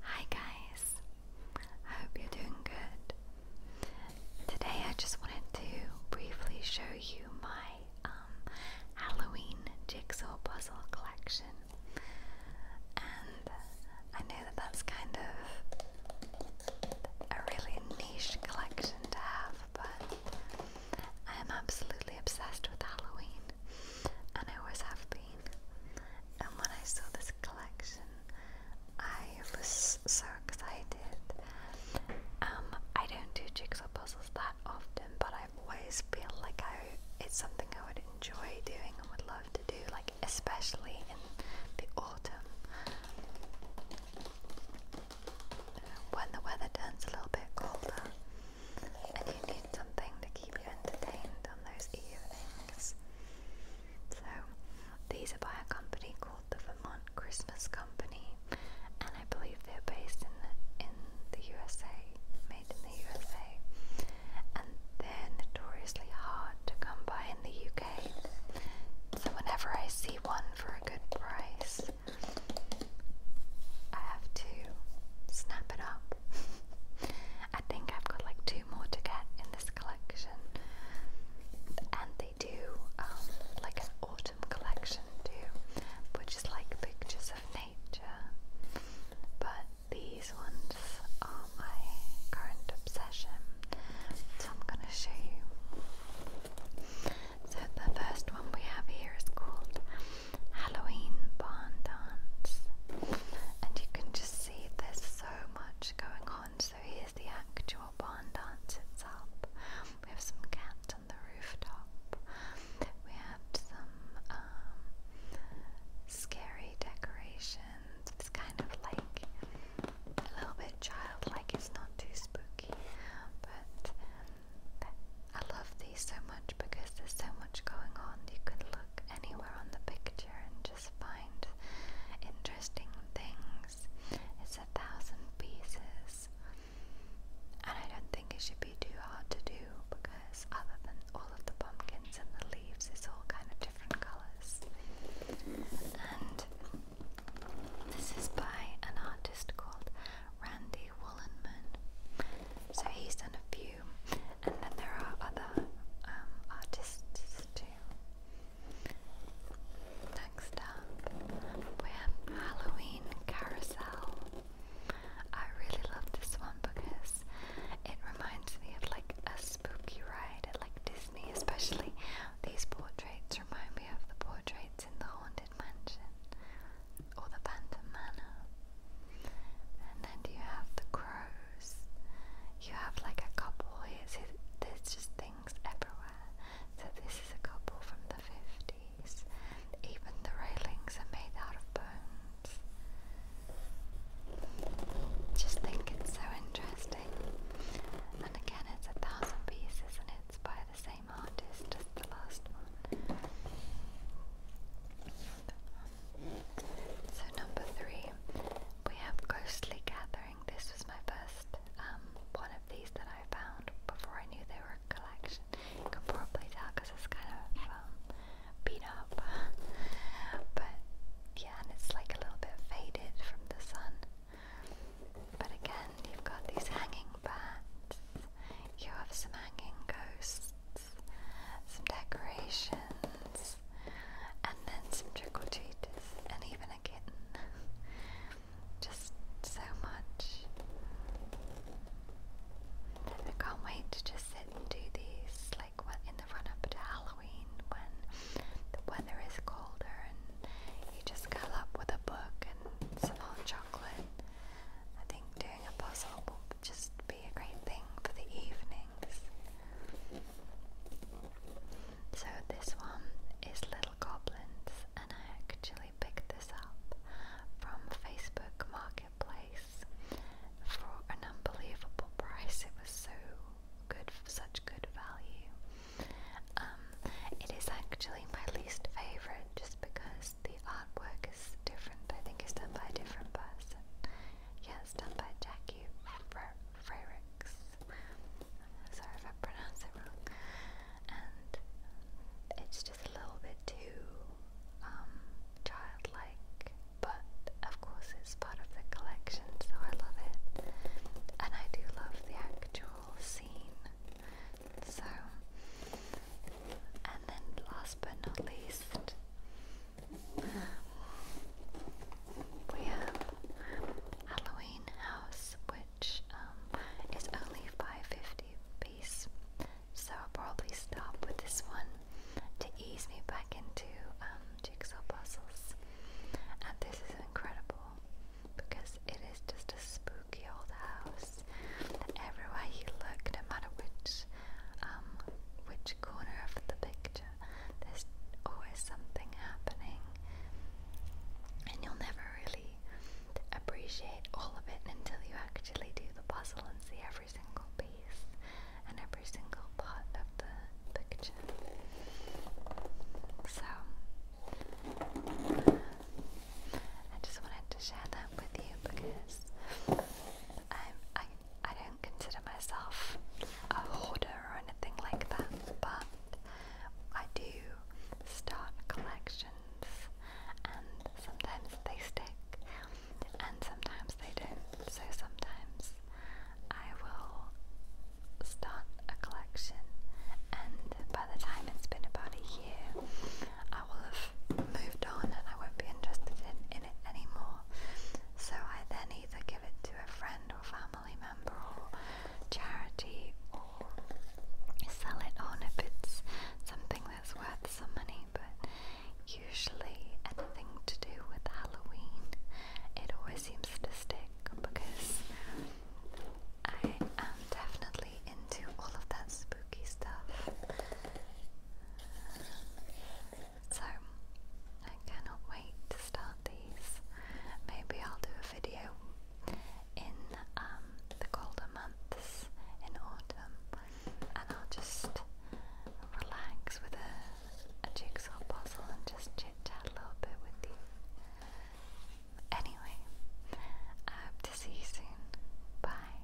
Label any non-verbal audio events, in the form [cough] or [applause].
Hi guys, I hope you're doing good. Today I just wanted to briefly show you my um, Halloween jigsaw puzzle collection. And I know that that's kind of a really niche collection to have, but I am absolutely obsessed with Halloween, and I always have been. And when I saw this collection, I was so excited. Um, I don't do jigsaw puzzles that often, but i always feel like I it's something I would enjoy doing and would love to do, like especially in the autumn when the weather turns a little bit colder and you need something to keep you entertained on those evenings. So, these are by a company called the Vermont Christmas Company, and I believe they're based in the, in the USA, made in the USA, and they're notoriously hard to come by in the UK. So, whenever I see one for a good price, I have to snap it up. [laughs] I think I've got like two more to get in this collection, and they do um, like an autumn collection too, which is like pictures of nature. But these ones are my current obsession. So I'm gonna show you. So the first one we have here is called Halloween Barn Dance. And you can just see there's so much going on. So here's the actual barn dance itself. We have some cats on the rooftop. We have some um, scary decorations and it's kind of like a little bit childlike. It's not too spooky, but I love these so much because there's so much going on. You can look anywhere on the picture and just find interesting things. It's a thousand pieces, and I don't think it should be too hard to do because, other than all of the pumpkins and the leaves is all kind of different colours. And this is by an artist called Randy Wollenman. So he's done a few, and then there are other um, artists too. Next up, we have Halloween Carousel. I really love this one because it reminds me of like a spooky ride at like Disney, especially these portraits remind me of the portraits in the Haunted Mansion or the Phantom Manor. And then you have the crows. You have like a couple here. See, there's just things everywhere. So this is a couple from the 50s. Even the railings are made out of bone. Just think it's so interesting. And again, it's a thousand pieces and it's by the same artist as the last one. So, number three, we have Ghostly Gathering. This was my first um, one of these that I found before I knew they were a collection. You can probably tell because it's kind of um, beat up. [laughs] But yeah, and it's like a little bit faded from the sun. But again, you've got these hanging bats, you have some hanging ghosts, some decorations, and then some trick or treaters, and even a kitten. [laughs] Just so much. I can't wait to just sit and do these like in the run up to Halloween when the weather is colder and you just curl up with a book and some hot chocolate. I think doing a puzzle will just be a great thing for the evenings. So this one is Little Goblins and I actually actually picked this up from Facebook Marketplace for an unbelievable price. It was so good, such good value. Um, it is actually my least favorite just because the artwork is different. I think it's done by a different person. Yeah, it's done by Jackie Frericks sorry if I pronounce it wrong, and it's just a little bit too um, childlike, but of course it's part of the collection, so I love it, and I do love the actual scene, so, and then last but not least, we have Halloween House, which which um, only 550 piece. So I'll probably stop with this one to ease me back into um, jigsaw puzzles. And this is incredible because it is just a spooky old house. everywhere you look, no matter which um, which corner of the picture, there's always something happening. And you'll never really appreciate all of it until you actually do the puzzle and see every single piece and every single part of the picture. So, I just wanted to share that with you because i I, I don't consider myself a hoarder or anything like that, but I do start collections and sometimes they stick and sometimes they don't. So sometimes I will start a collection and by the time it's been about a year I will have moved on and I won't be interested in, in it anymore. So I then either give it to a friend family member or charity or sell it on if it's something that's worth some money. But usually, anything to do with Halloween, it always seems to stick because I am definitely into all of that spooky stuff. So I cannot wait to start these. Maybe I'll do a video in um, the colder months in autumn and I'll just relax with a jigsaw puzzle and just chit chat a little bit with you. Anyway, I hope to see you soon. Bye.